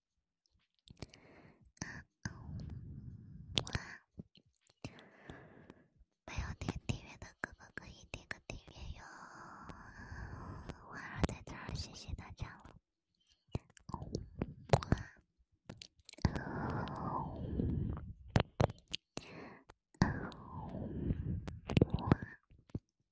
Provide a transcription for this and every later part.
啊，我啊，没有点订阅的哥哥可以点个订阅哟。我在这儿，谢谢大家了。我啊，啊，我啊。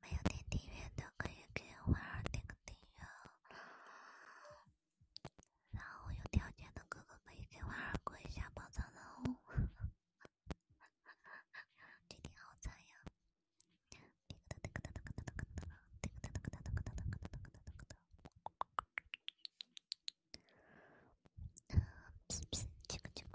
没有点订阅的可以给婉儿点个订阅，然后有条件的哥哥可以给婉儿过一下保障人哦。今天好惨呀！嘀个嘀个嘀个嘀个嘀个嘀个嘀个嘀个嘀个嘀个嘀个。啊，噗噗，这个这个。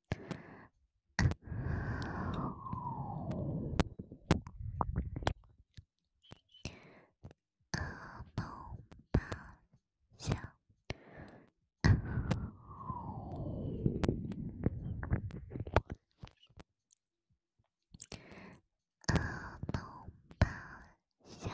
阿龙爸，小阿龙爸，小。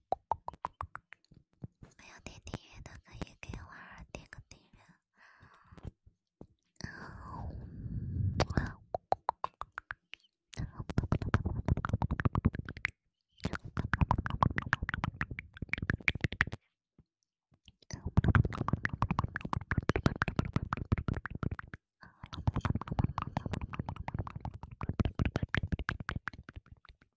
没有点订阅的可以给娃儿点个订阅。